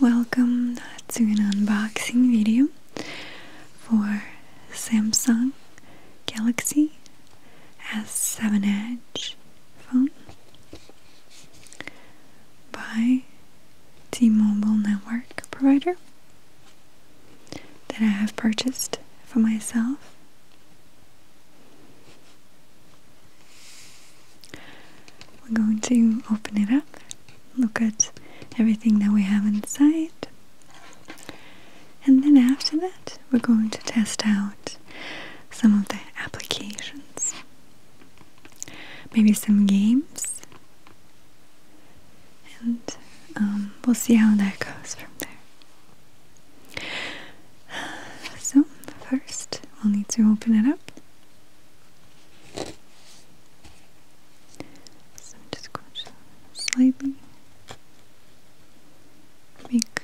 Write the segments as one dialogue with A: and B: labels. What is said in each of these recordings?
A: Welcome to an unboxing video for Samsung Galaxy S7 Edge phone by T-Mobile network provider that I have purchased for myself we're going to open it up, look at everything that we have inside, and then after that, we're going to test out some of the applications. Maybe some games, and um, we'll see how that goes from there. So, first we'll need to open it up. So I'm just going to slightly make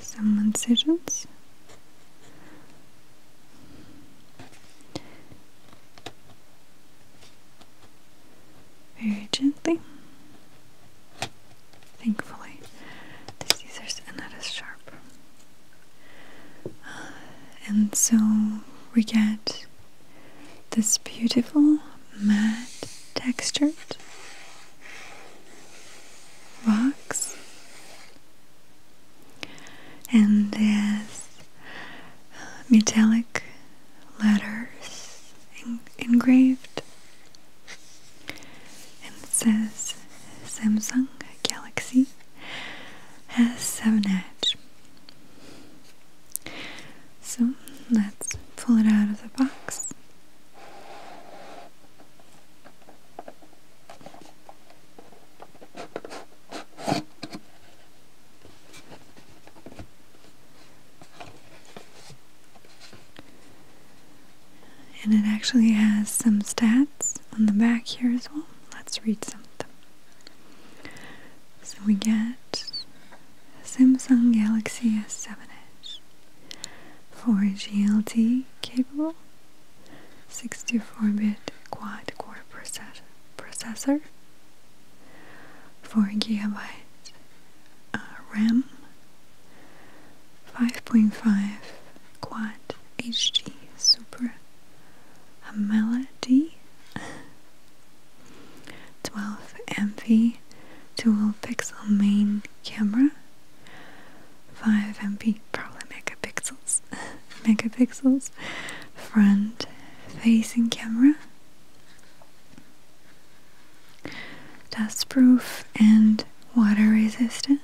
A: some incisions very gently. Thankfully, the scissors are not as sharp. Uh, and so we get this beautiful matte textured box, and this uh, metallic letters engraved and says Samsung Galaxy S7 Edge. So let's pull it out of the box. And it actually has some stats on the back here as well. Let's read some of them. So we get Samsung Galaxy S7 Edge, 4G LTE capable, 64-bit quad-core processor processor, 4 GB uh, RAM, 5.5 Quad HD Super AMOLED 12 MP dual pixel main camera, 5 MP probably megapixels, megapixels front facing camera dustproof and water resistant,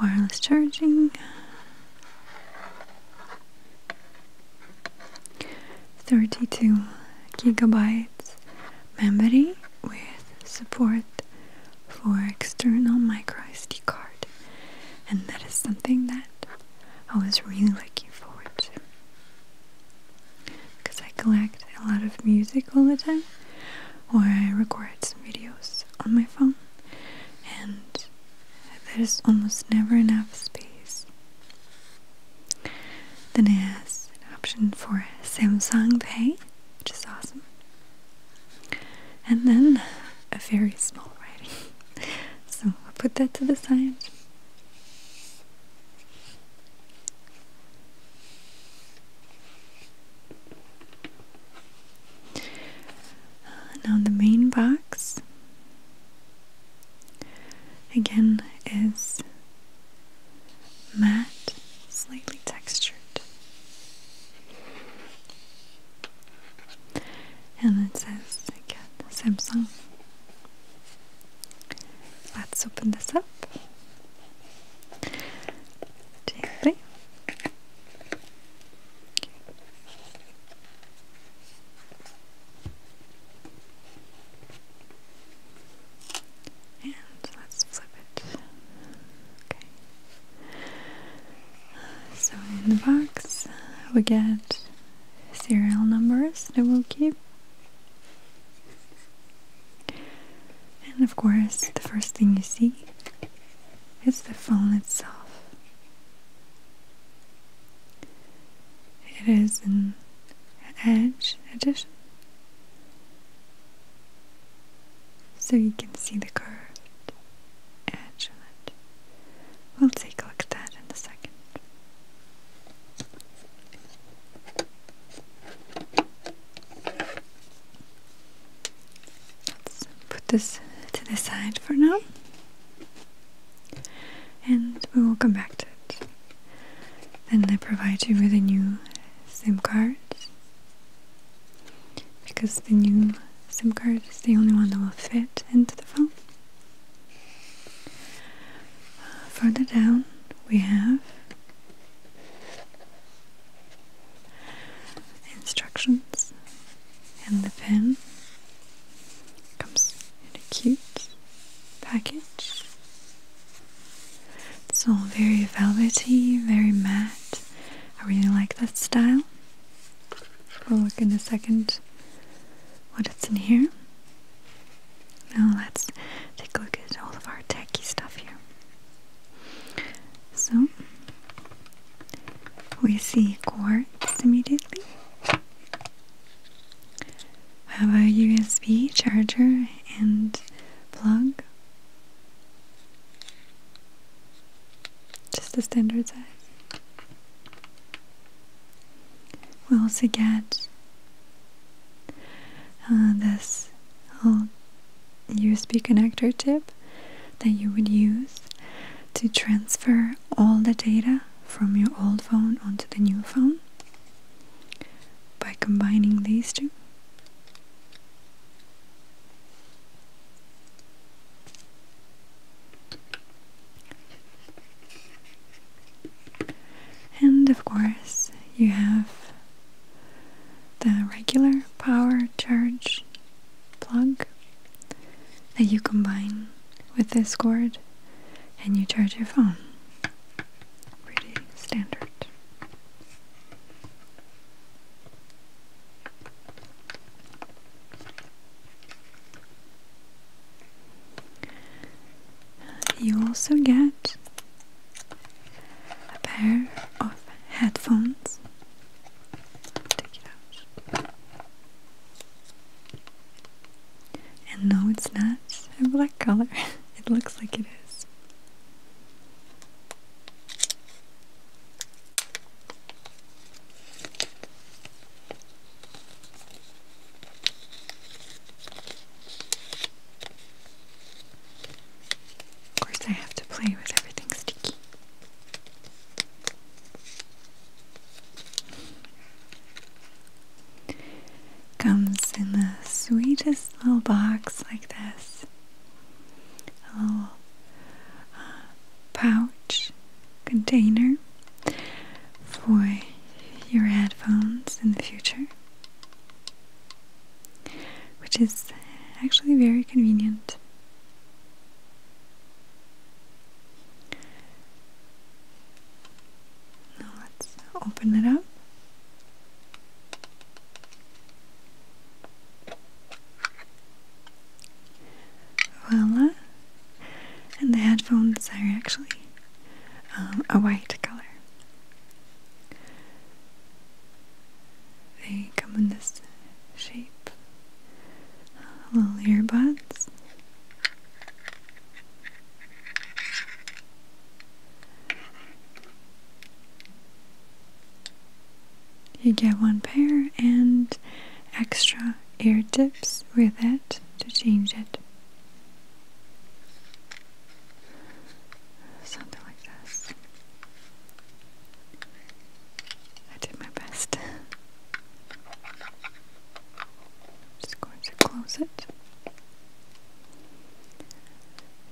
A: wireless charging, thirty-two gigabytes memory with support for external micro SD card, and that is something that I was really looking forward to. Because I collect a lot of music all the time, or I record some videos on my phone, and there's almost never enough space. Then there's an option for Samsung Pay, which is awesome. And then a very small writing. So I'll put that to the side. Uh, now, the main box again is matte, slightly textured and it says again Samsung. Let's open this up Okay. And let's flip it. Okay. So in the box we get serial numbers that we'll keep. And of course, the first thing you see is the phone itself. It is an Edge edition. So you can see the curved edge We'll take a look at that in a second. Let's put this to the side for now and we will come back to it. Then they provide you with a new SIM card because the new SIM card is the only one that will fit into the phone further down we have instructions and the pen comes in a cute package. It's all very velvety, very matte. I really like that style. We'll look in a second what it's in here. Now let's take a look at all of our techy stuff here. So we see cords immediately. have a USB charger and plug. Just the standard size. We also get uh, this little USB connector tip that you would use to transfer all the data from your old phone onto the new phone by combining these two. And of course, you have the regular power charge plug that you combine with this cord and you charge your phone. Pretty standard. You also get a pair of headphones. Take it out. And no, it's not a black color. it looks like it is. Of course, I have to play with everything sticky. Comes in the sweetest little box like this. A little uh, container for your headphones in the future, which is actually very convenient. Now let's open it up. Voila, and the headphones are actually um, a white color. They come in this shape uh, little earbuds. You get one pair and extra ear tips with it to change it. Something like this. I did my best. Just going to close it. I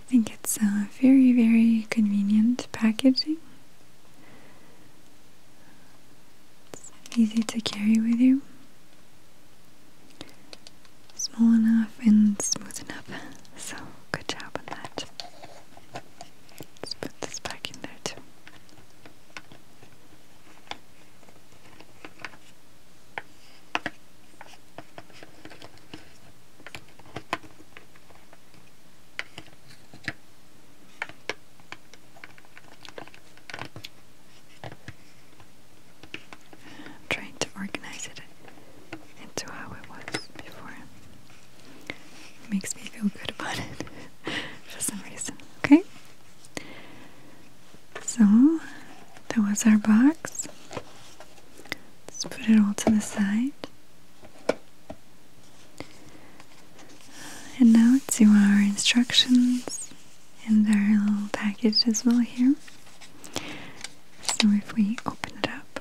A: think it's uh, very, very convenient packaging and easy to carry with you. Small enough and smooth enough. So good job on that. Let's put this back in there too trying to organize it into how it was before. makes me feel good about it for some reason. Okay? So, that was our box. Let's put it all to the side. And now to our instructions and their little package as well here. So if we open it up,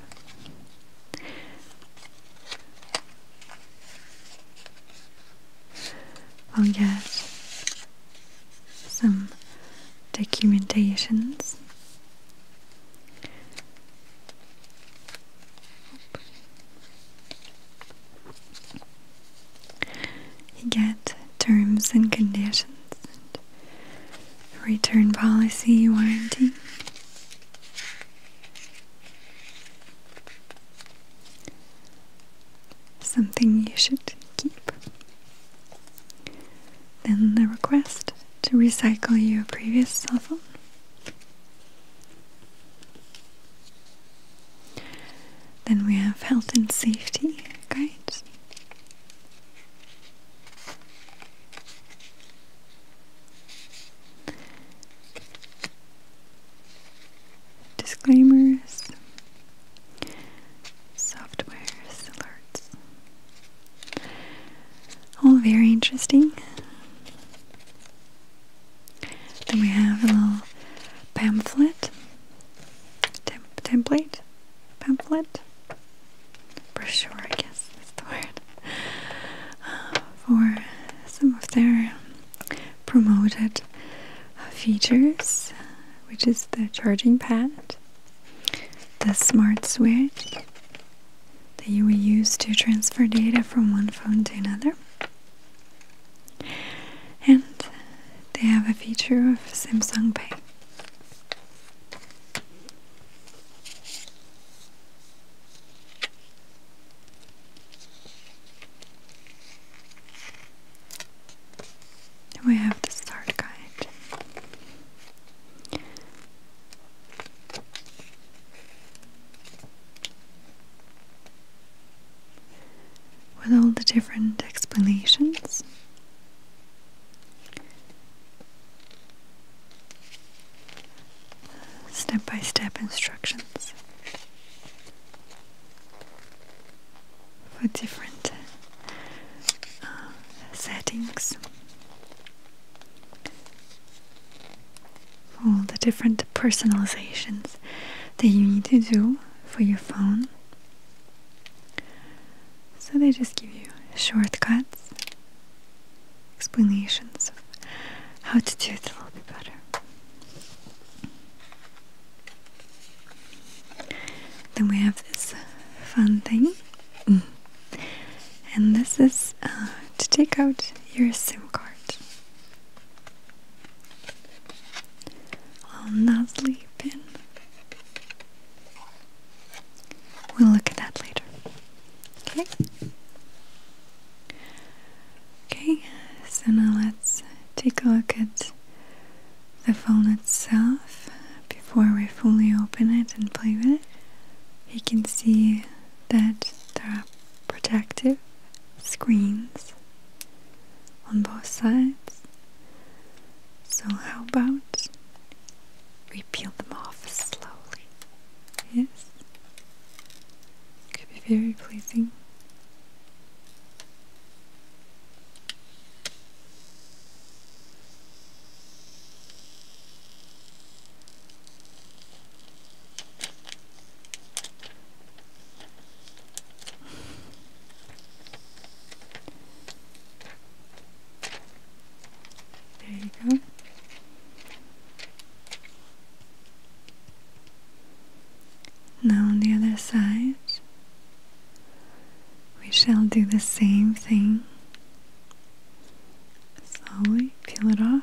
A: we'll oh, get some documentations. You get terms and conditions, and return policy, warranty. Something you should keep. Then the request to recycle your previous cell phone. Then we have health and safety guides. Disclaimers, software alerts. All very interesting. Then we have a little pamphlet Tem template? Pamphlet? Brochure, I guess that's the word. for some of their promoted features, which is the charging pad, the smart switch that you will use to transfer data from one phone to another, and they have a feature of Samsung Pay. We have the start guide with all the different explanations. Step by step instructions for different uh, settings, all the different personalizations that you need to do for your phone so they just give you shortcuts, explanations of how to do it a little bit better. Then we have this fun thing, mm. and this is uh, to take out your SIM card. I'm not sleeping. We'll look at that later. Okay? Okay, so now let's take a look at the phone itself before we fully open it and play with it. You can see that there are protective screens on both sides so, how about we peel them off slowly? Yes? Could be very pleasing. There you go. Now, on the other side, we shall do the same thing. Slowly peel it off.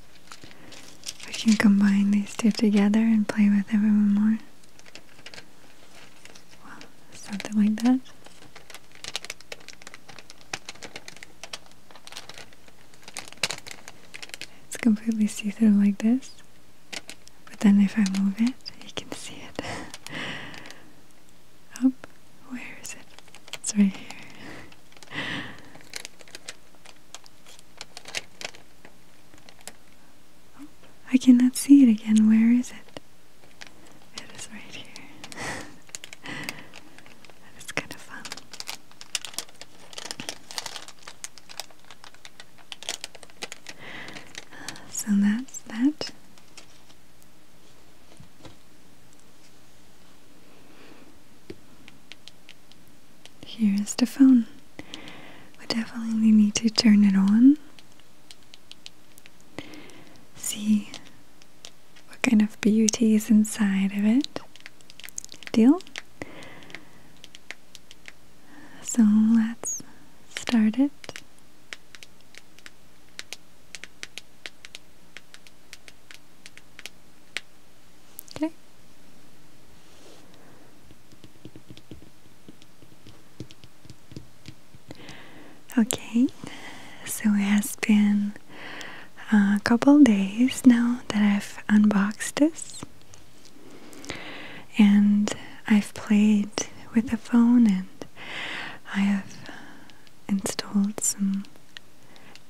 A: We can combine these two together and play with everyone more. Well, something like that. It's completely see-through like this. But then if I move it, you can see it. Up. Where is it? It's right here. I cannot see it again. Where is it? It is right here. that is kind of fun. Uh, so that's that. Here is the phone. We definitely need to turn it on. See what kind of beauty is inside of it. Deal? So let's start it. Okay. Okay, so it has been a couple days now that I've unboxed this, and I've played with the phone, and I have installed some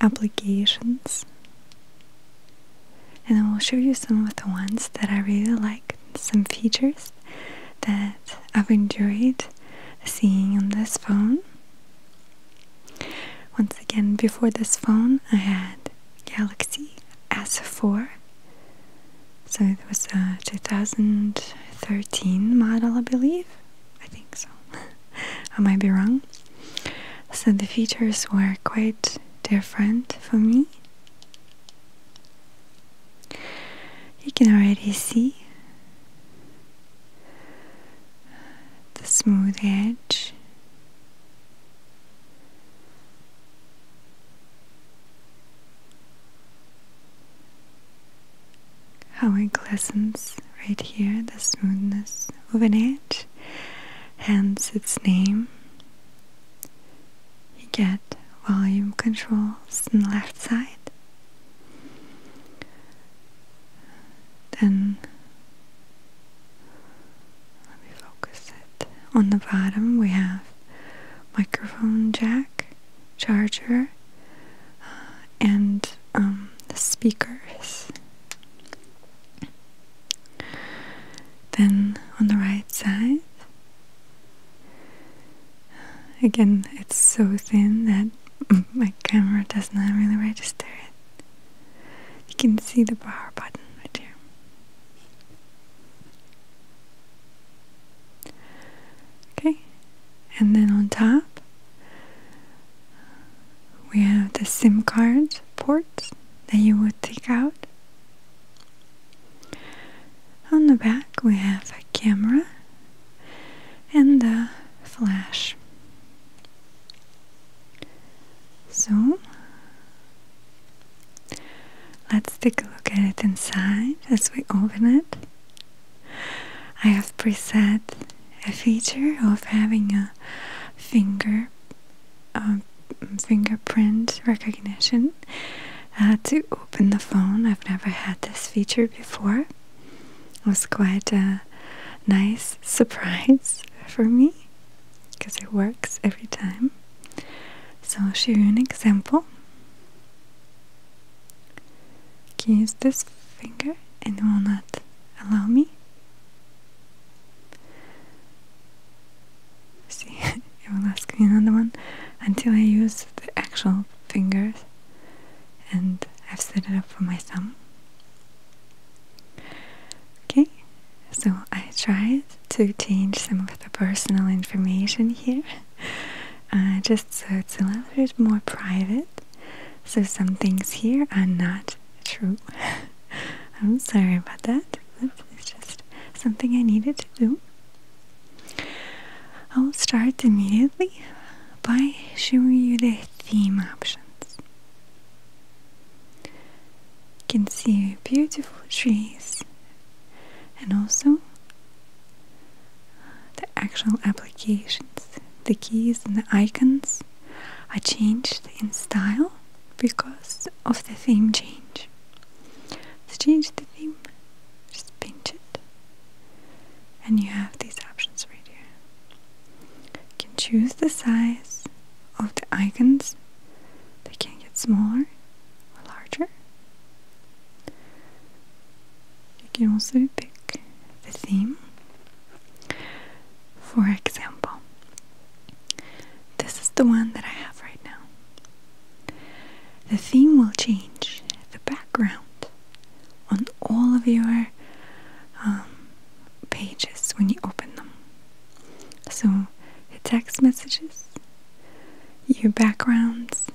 A: applications and I will show you some of the ones that I really like, some features that I've enjoyed seeing on this phone. Once again, before this phone, I had Galaxy S4, so it was a 2013 model, I believe. I think so. I might be wrong. So the features were quite different for me. You can already see the smooth edge. How it glistens right here, the smoothness of an edge hence its name. You get volume controls on the left side. Then let me focus it. On the bottom we have microphone jack, charger, uh, and um, speakers. Then on the right side, again, it's so thin that my camera does not really register it. You can see the power button right here. Okay, and then on top we have the SIM card Ports that you would take out. On the back we have a camera and a flash. So let's take a look at it inside as we open it. I have preset a feature of having a finger uh, fingerprint recognition uh, to open the phone. I've never had this feature before. It was quite a nice surprise for me because it works every time. So I'll show you an example. Can you use this finger and it will not allow me. See, it will ask me another one until I use the actual fingers and I've set it up for my thumb. Okay, so I tried to change some of the personal information here uh, just so it's a little bit more private. So some things here are not true. I'm sorry about that. It's just something I needed to do. I'll start immediately by showing you the theme options. You can see beautiful trees and also the actual applications. The keys and the icons are changed in style because of the theme change. Let's change the theme, just pinch it, and you have these options right here. You can choose the size of the icons, they can get smaller or larger. You can also pick the theme. For example, this is the one that I have right now. The theme will change, the background on all of your um, pages when you open them. So, the text messages, your backgrounds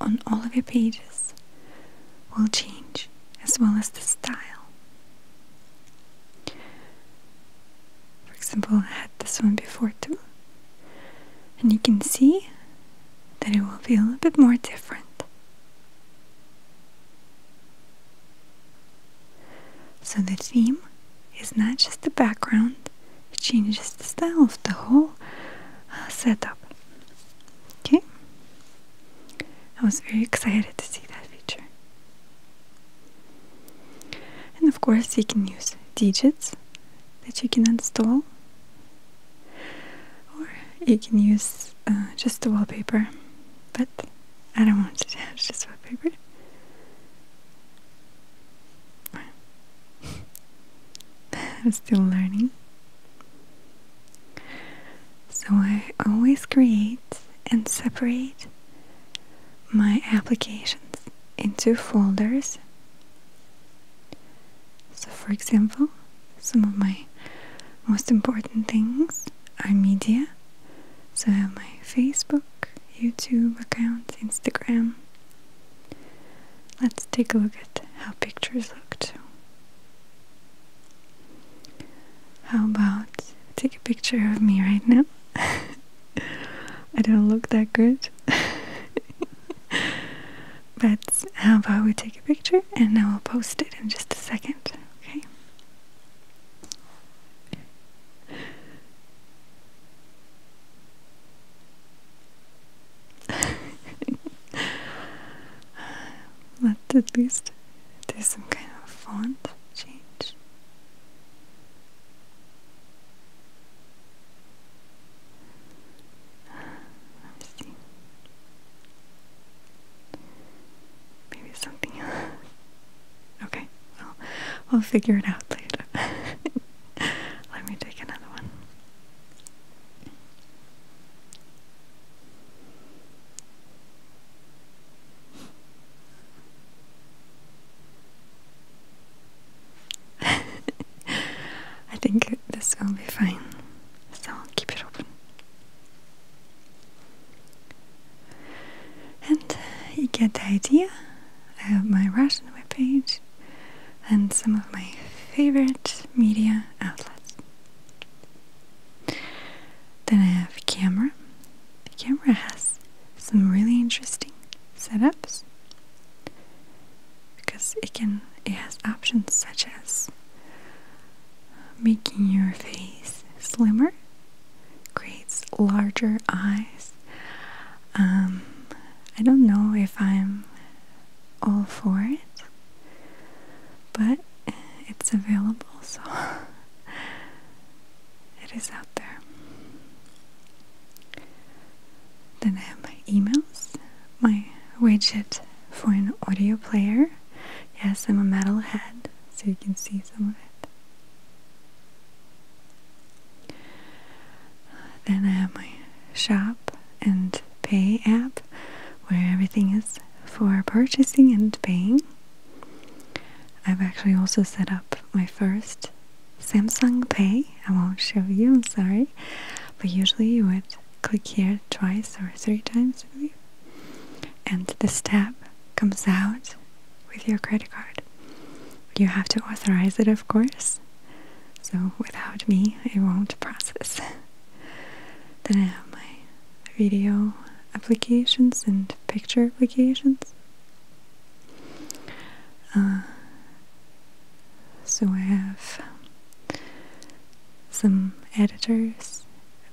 A: on all of your pages will change, as well as the style. For example, I had this one before too. And you can see that it will feel a bit more different. So the theme is not just the background, it changes the style of the whole uh, setup. Okay? I was very excited to see that feature. And of course, you can use digits that you can install, or you can use uh, just the wallpaper. But I don't want to touch the wallpaper. I'm still learning. So I always create and separate my applications into folders. So, for example, some of my most important things are media. So, I have my Facebook, YouTube account, Instagram. Let's take a look at how pictures look too. How about take a picture of me right now? I don't look that good. but how about we take a picture and I will post it in just a second, okay? Let's at least do some kind of font change. Let me see. Maybe something else. Okay, well, we'll figure it out later. Let me take another one. I think this will be fine, so I'll keep it open. And you get the idea. I have my Russian webpage and some of my favorite media outlets. Then I have camera, the camera has some really interesting setups because it can it has options such as uh, making your face slimmer creates larger eyes um, I don't know if I'm all for it but it's available so it is out there. Then I have my emails, my widget for an audio player. Yes, I'm a metal head, so you can see some of it. Then I have my shop and pay app where everything is for purchasing and paying. I've actually also set up my first Samsung Pay. I won't show you, I'm sorry. But usually you would click here twice or three times, And this tab comes out with your credit card. You have to authorize it, of course. So without me, it won't process. then I have my video applications and picture applications. Uh, so I have some editors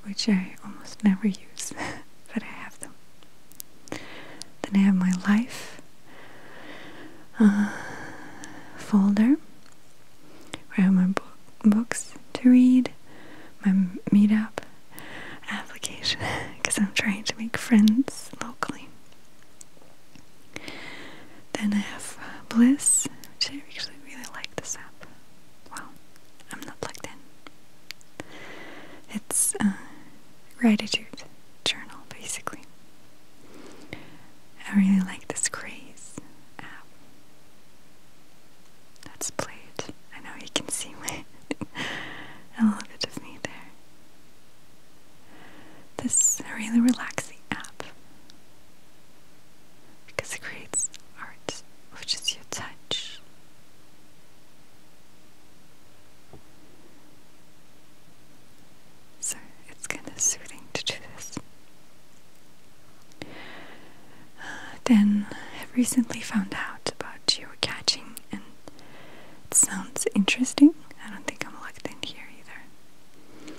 A: which I almost never use, but I have them. Then I have my life uh, folder where I have my books to read, my meetup application because I'm trying to make friends locally. Then I have uh, Bliss, which I actually really like this app. Wow, I'm not plugged in. It's uh, gratitude journal, basically. I really like this craze app. Let's I know you can see my a little bit of me there. This really relaxing app because it creates art, which is your touch. So it's kind of soothing to do this. Uh, then I recently found out about catching and it sounds interesting. I don't think I'm locked in here either.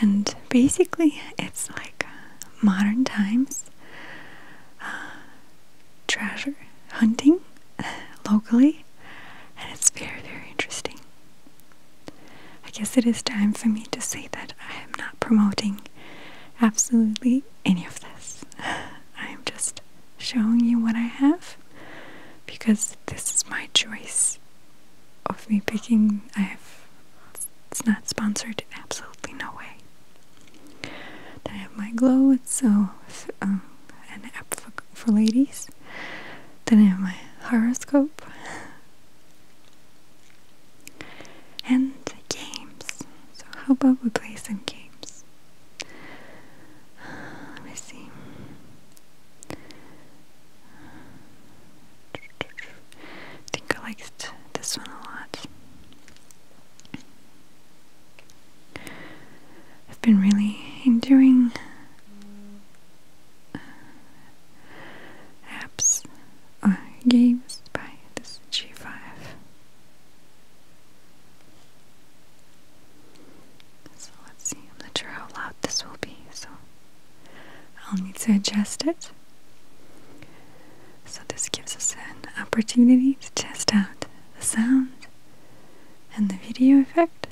A: And basically, it's like uh, modern times uh, treasure hunting locally, and it's very, very interesting. I guess it is time for me to say that I am not promoting absolutely any of this. I am just showing you what I have because this is my choice of me picking. I have it's not sponsored, absolutely no way. Then I have my glow, it's so um, an app for, for ladies. Then I have my horoscope and games. So, how about we play some games? Let me see. I think I liked this one a lot. I've been really enjoying uh, apps or uh, games by this G5. So let's see, I'm not sure how loud this will be, so I'll need to adjust it. So this gives us an opportunity to test out the sound and the video effect.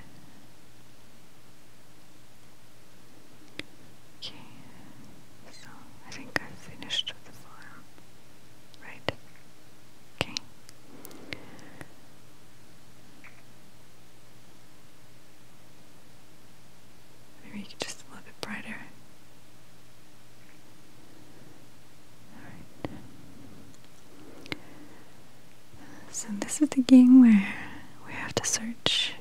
A: Okay, so I think I've finished with the form, right? Okay. Maybe just a little bit brighter. Alright. So this is the game where we have to search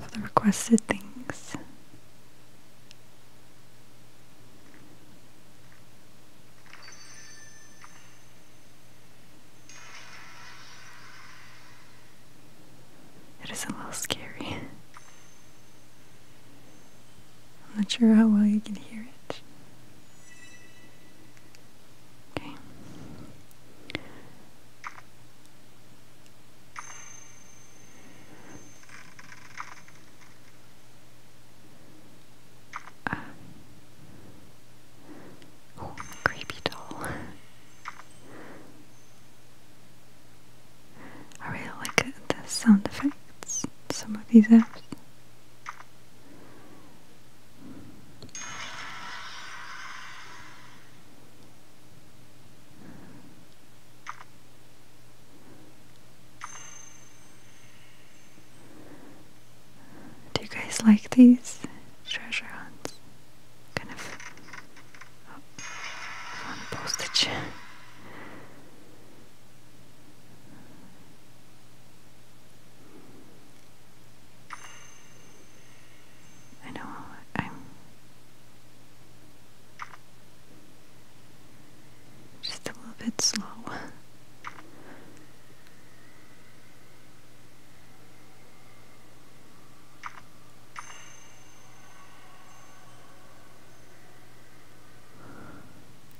A: for the requested things. It is a little scary. I'm not sure how well you can hear it. Okay creepy doll. I really like the sound effects some of these apps. Do you guys like these treasure hunts? Kind of oh, postage. I know I'm just a little bit slow.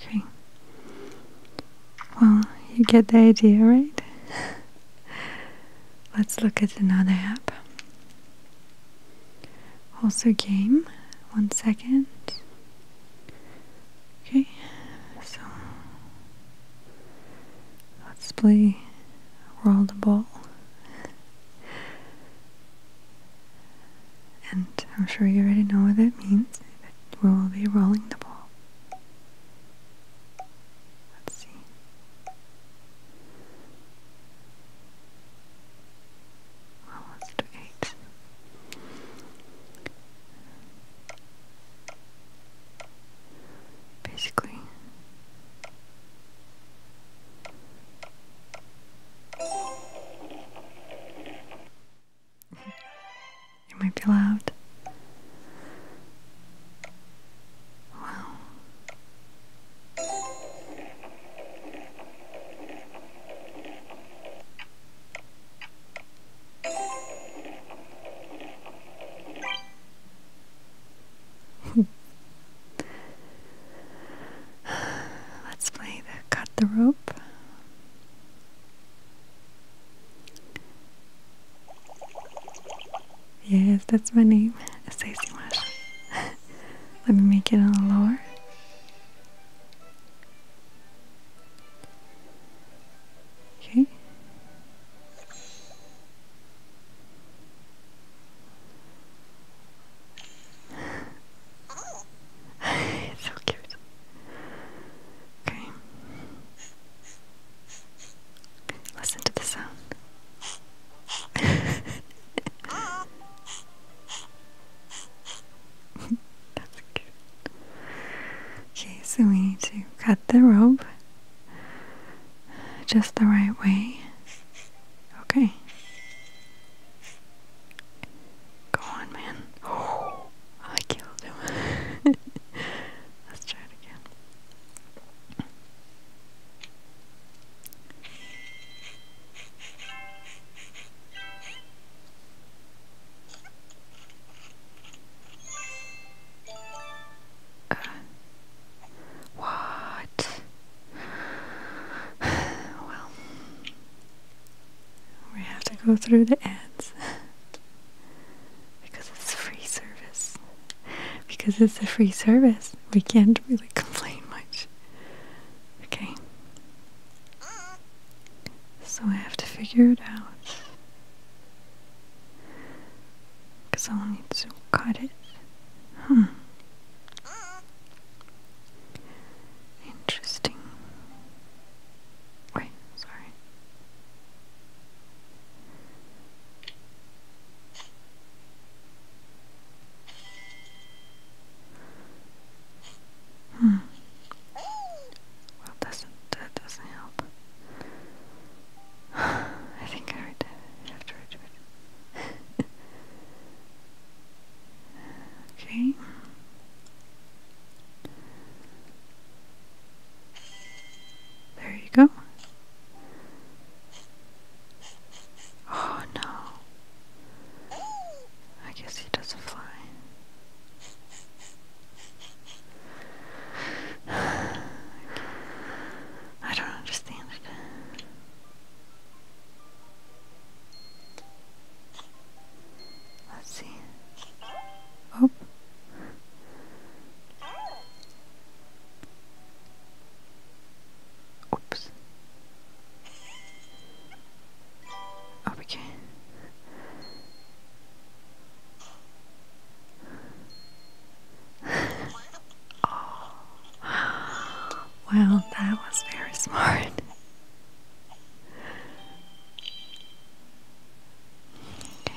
A: Okay. Well, you get the idea, right? Let's look at another app. Also, game. One second. Okay, so let's play roll the ball. And I'm sure you already know what that means, we will be rolling the ball. Let's see. Well, let's do basically. it might be loud. Wow. Let's play the cut the rope. Yes, that's my name, Stacy Marshall. Let me make it a little lower. Okay. so cute. Okay. Listen to the sound. Okay, so we need to cut the rope just the right way. Okay. Go on, man. I killed him. Let's try it again what? well, we have to go through the ads because it's a free service. Because it's a free service, we can't really complain much. Okay. So I have to figure it out. Because I'll need to cut it. Hmm. Interesting. Wait, sorry. Hmm. Well, doesn't that doesn't help? I think I read that after I it. okay. There you go. Oh no. I guess he doesn't fly. I don't understand it. Let's see. Oh. Oops. Okay. oh. Well, that was very smart. Okay,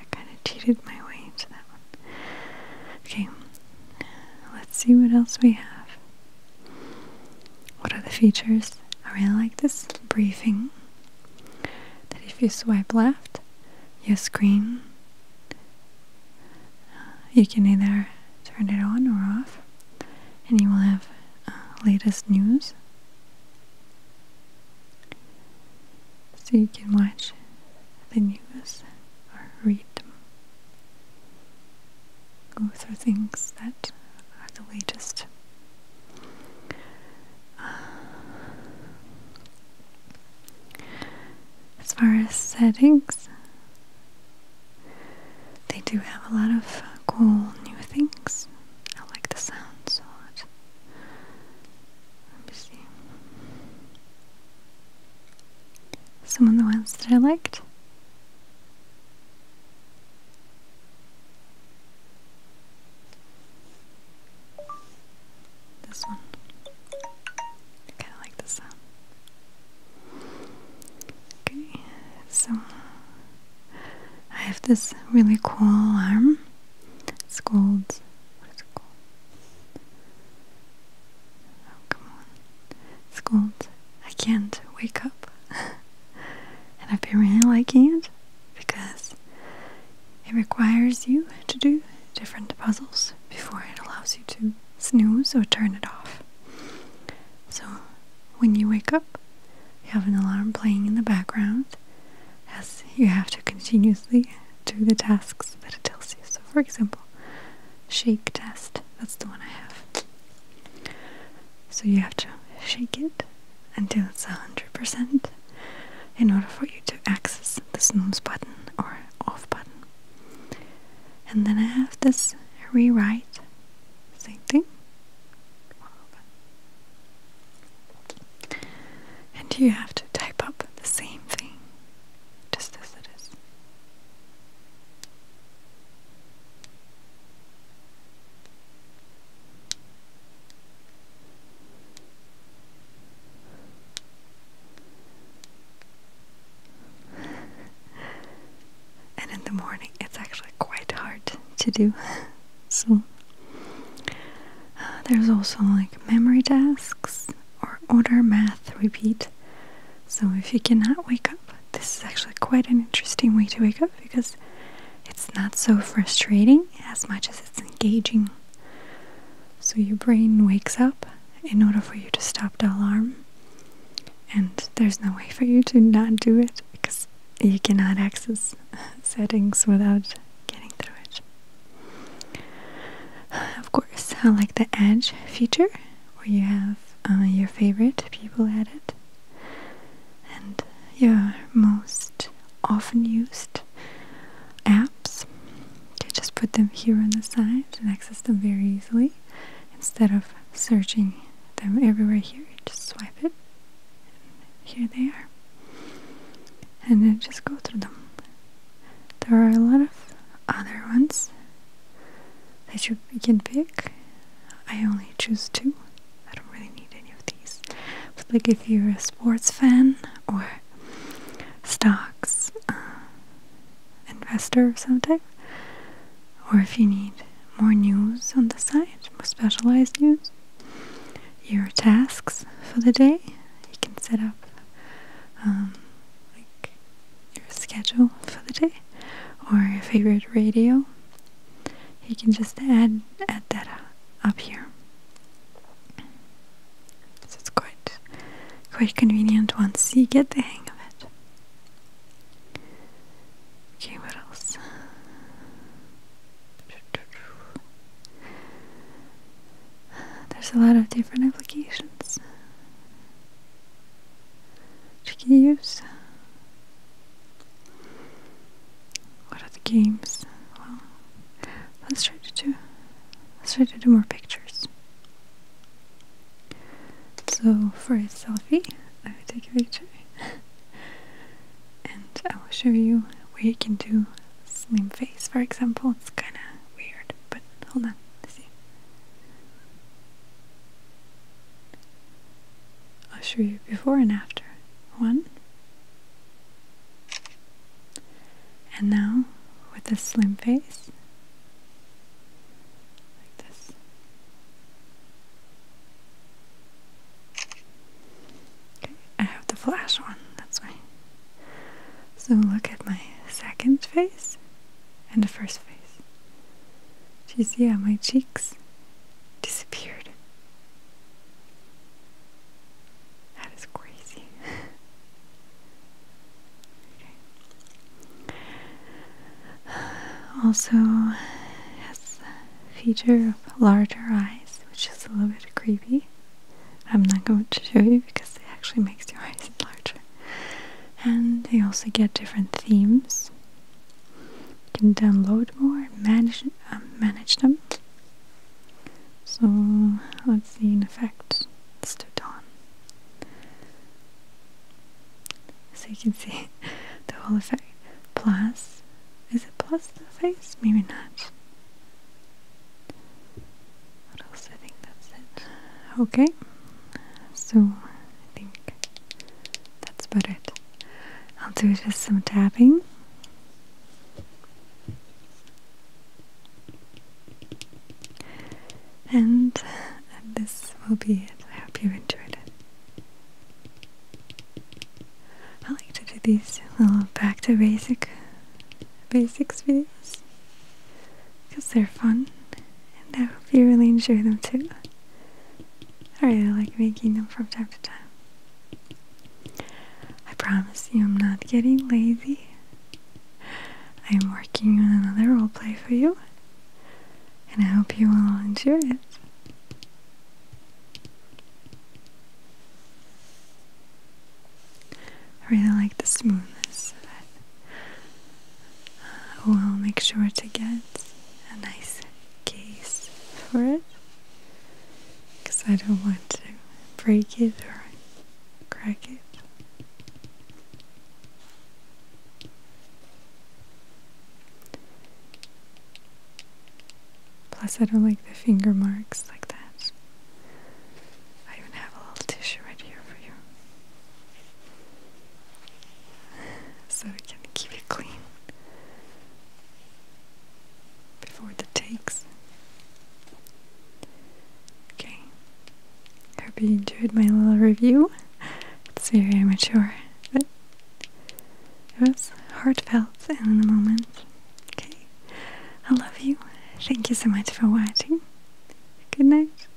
A: I kind of cheated my way into that one. Okay, let's see what else we have. What are the features? I really like this briefing that if you swipe left, your screen uh, you can either turn it on or off, and you will have uh, latest news. So you can watch the news or read them. Go through things that are the latest as far as settings, they do have a lot of cool new things. I like the sounds a lot. Let me see. Some of the ones that I liked. This one. I kinda like this sound. Okay, so I have this really cool alarm. It's called what is it called? Oh, come on. It's called I can't wake up. and I've been really liking it because it requires you to do different puzzles before it allows you to snooze or turn it off. So when you wake up, you have an alarm playing in the background as you have to continuously do the tasks that it tells you. So for example, shake test, that's the one I have. So you have to shake it until it's 100% in order for you to access the snooze button or off button. And then I have this rewrite, same thing. And you have to type up the same thing, just as it is. and in the morning it's actually quite hard to do. so uh, there's also like memory tasks or order math repeat. So if you cannot wake up, this is actually quite an interesting way to wake up because it's not so frustrating as much as it's engaging. So your brain wakes up in order for you to stop the alarm, and there's no way for you to not do it because you cannot access settings without getting through it. Of course, I like the edge feature where you have uh, your favorite people added and your most often used apps. I just put them here on the side and access them very easily instead of searching them everywhere here. just swipe it, here they are, and then just go through them. There are a lot of other ones that you can pick. I only choose two I don't really need any of these. like if you're a sports fan or stocks uh, investor of some type, or if you need more news on the site, more specialized news, your tasks for the day, you can set up um, like your schedule for the day or your favorite radio you can just add add that uh, up here so it's quite quite convenient once you get the hang of it okay what else there's a lot of different applications that you can use what are the games? Well, let's try to do. Let's try to do more pictures. So for a selfie, I will take a picture, and I will show you where you can do slim face. For example, it's kind of weird, but hold on, let's see. I'll show you before and after. One, and now, with a slim face, like this, okay, I have the flash on, that's why. So, look at my second face and the first face. Do you see how my cheeks disappeared? That is crazy. okay. Also has feature of larger eyes, which is a little bit creepy. I'm not going to show you because it actually makes your eyes larger. And they also get different themes. You can download more, manage manage them. So let's see an effect it's to So you can see the whole effect. Plus is it plus the face? Maybe not. What else? I think that's it. Okay. So I think that's about it. I'll do just some tapping and uh, this will be it. I hope you enjoyed it. I like to do these little back to basic basics videos because they're fun and I hope you really enjoy them too. I really like making them from time to time. I promise you I'm not getting lazy. I'm working on another roleplay for you, and I hope you will enjoy it. I really like the smoothness of it. We'll make sure to get a nice case for it because I don't want to break it or crack it. Plus, I don't like the finger marks like that. I even have a little tissue right here for you. So we can keep it clean before the takes. Okay. I Hope you enjoyed my little review. It's very immature, but it was heartfelt and in the moment. Okay. I love you. Thank you so much for watching. Good night.